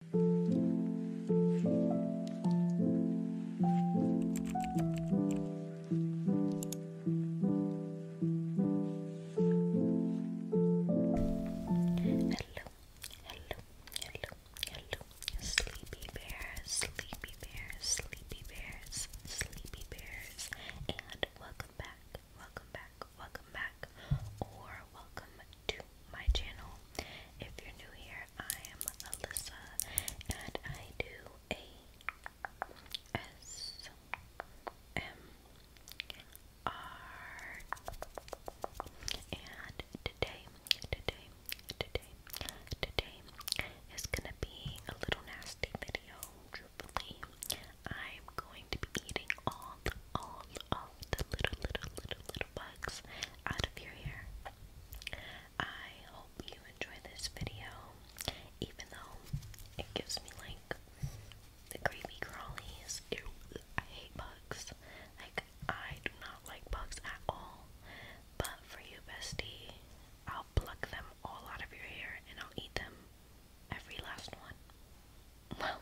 Hello, hello, hello, hello, sleepy bears, sleepy bears, sleepy bears, sleepy bears, and welcome back, welcome back, welcome back, or welcome to my channel. If you're new here, I am Alyssa and I do a S M R and today, today, today, today is gonna be a little nasty video, truthfully. I'm going to be eating all, all, all the little, little, little, little bugs out of your hair. I hope you enjoy this video, even though it gives me like the creepy crawlies. Ew, I hate bugs. Like, I do not like bugs at all. But for you, bestie, I'll pluck them all out of your hair and I'll eat them. Every last one. Well,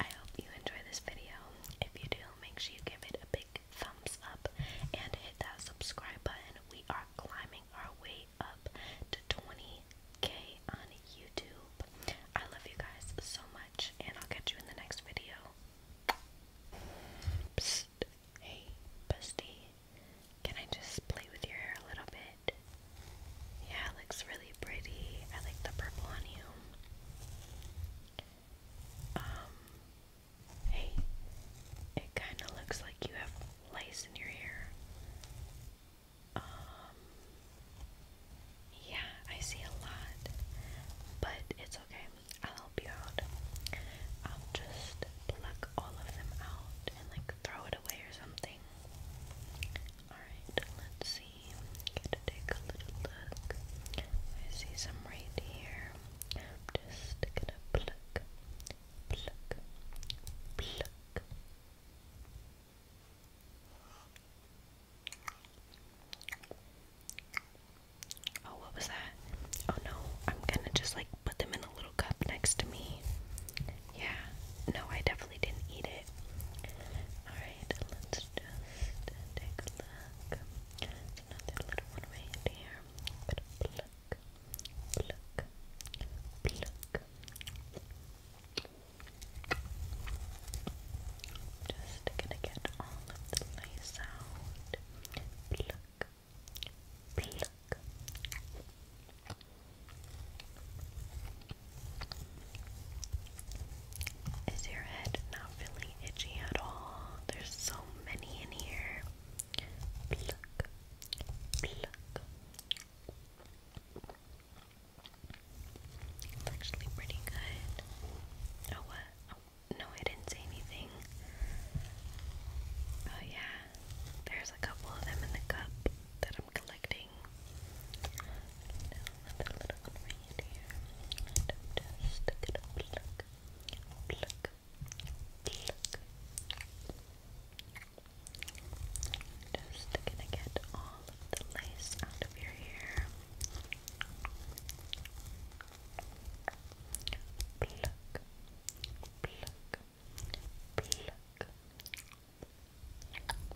I hope you enjoy this video. If you do, make sure you give it a big thumbs up and hit that subscribe button. We are climbing our way up to 20k on YouTube. I love you guys so much, and I'll catch you in the next video. Hey, Busty. Can I just play with your hair a little bit? Yeah, it looks really pretty. I like the purple on you. Um, hey, it kind of looks like you have lice in your hair. Um, yeah, I see a lot, but it's okay. I'll help you out. I'll um, just pluck all of them out and like throw it away or something. Alright, let's see. Gotta take a little look. I see some right here. just gonna pluck, pluck, pluck. Oh, what was that? Oh no, I'm gonna just like put them in a little cup next to me. Yeah, no, I definitely didn't eat it. Alright, Alright, let's just take a look. another little one right here. But pluck, pluck, Just gonna get all of the lice out. Pluck, pluck. Is your head not feeling itchy at all? There's so many in here. It's actually pretty good. Oh, what? Oh, no, I didn't say anything. Oh, yeah. There's a couple of them in the cup that I'm collecting. another little one right here. just gonna pluck, pluck, pluck. Just gonna get all of the lace out of your hair. Pluck, pluck, pluck.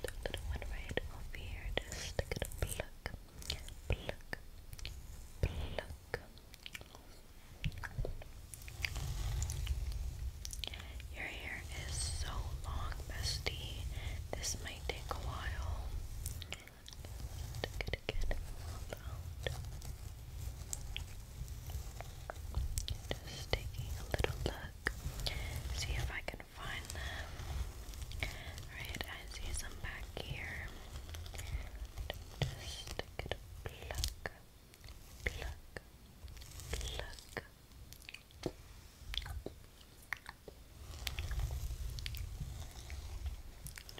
Another one right over here. Just gonna pluck, pluck, pluck. Your hair is so long, bestie. This might take a while. Just it all just taking a little look, see if I can find them. Alright, I see some back here. Just get a pluck, pluck, pluck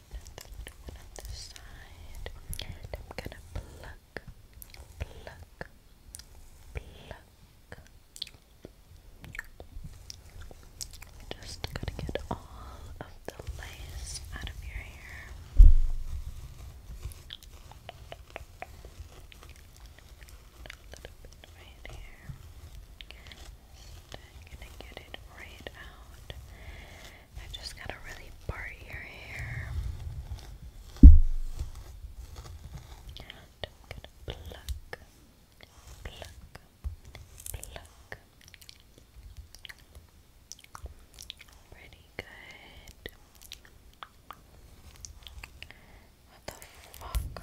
the little side. I'm gonna pluck, pluck, pluck. Just gotta get all of the lace out of your hair. A little bit right here. Just gonna get it right out. I just gotta really part your hair. And pluck, pluck, pluck. Pretty good. What the fuck?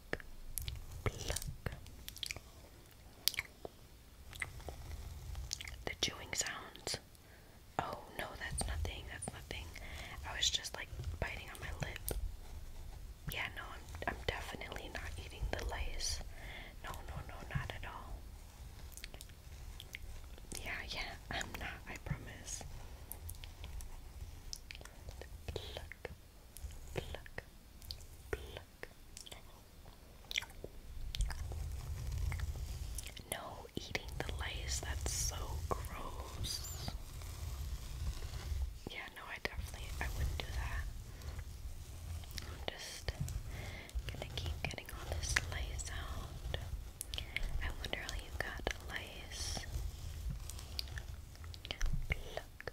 the chewing sounds. Oh no, that's nothing. That's nothing. I was just like biting on my lip. Yeah, no, I'm I'm definitely not eating the lace. No, no, no, not at all. Yeah, yeah, I'm not. I promise. No eating the lace, that's so gross. Yeah, no, I definitely I wouldn't do that. I'm just gonna keep getting all this lace out. I wonder how you got lace. Pluck,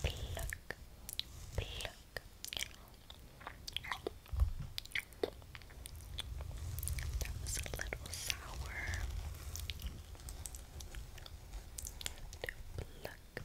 Pluck, pluck. That was a little sour. pluck, pluck, pluck.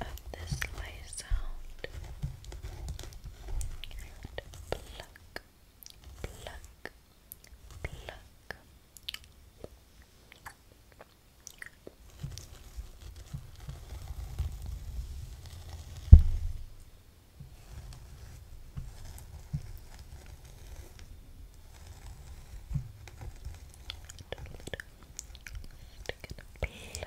of this light sound. And pluck, pluck, pluck. Pluck, pluck,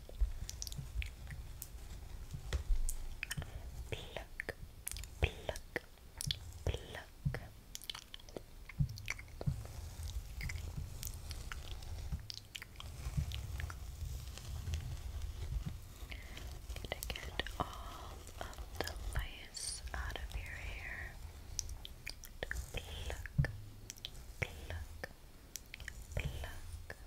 Pluck, pluck, To get all of the lice out of your hair.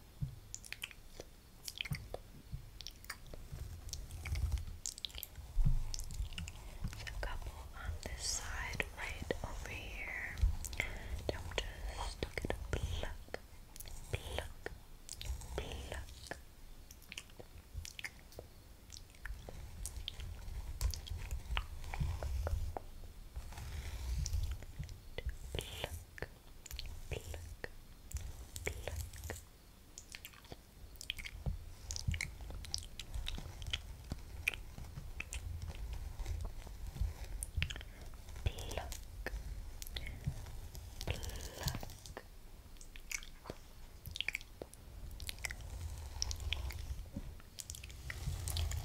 So a couple on this side, right over here. Don't just look at a pluck, pluck, pluck. Pluck, pluck, pluck. Pluck, pluck.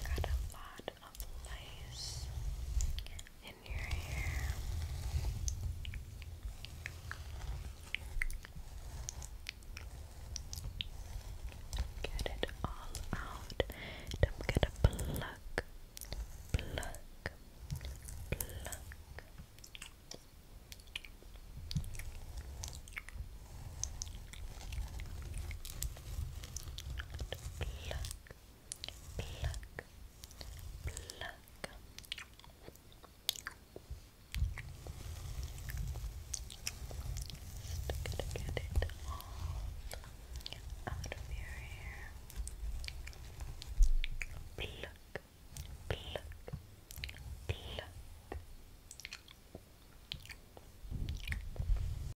Got a lot of lice in your hair. Get it all out. Don't get a pluck, pluck, pluck. Pluck, pluck, pluck. Just gonna get it all out of your hair. Pluck, pluck, pluck.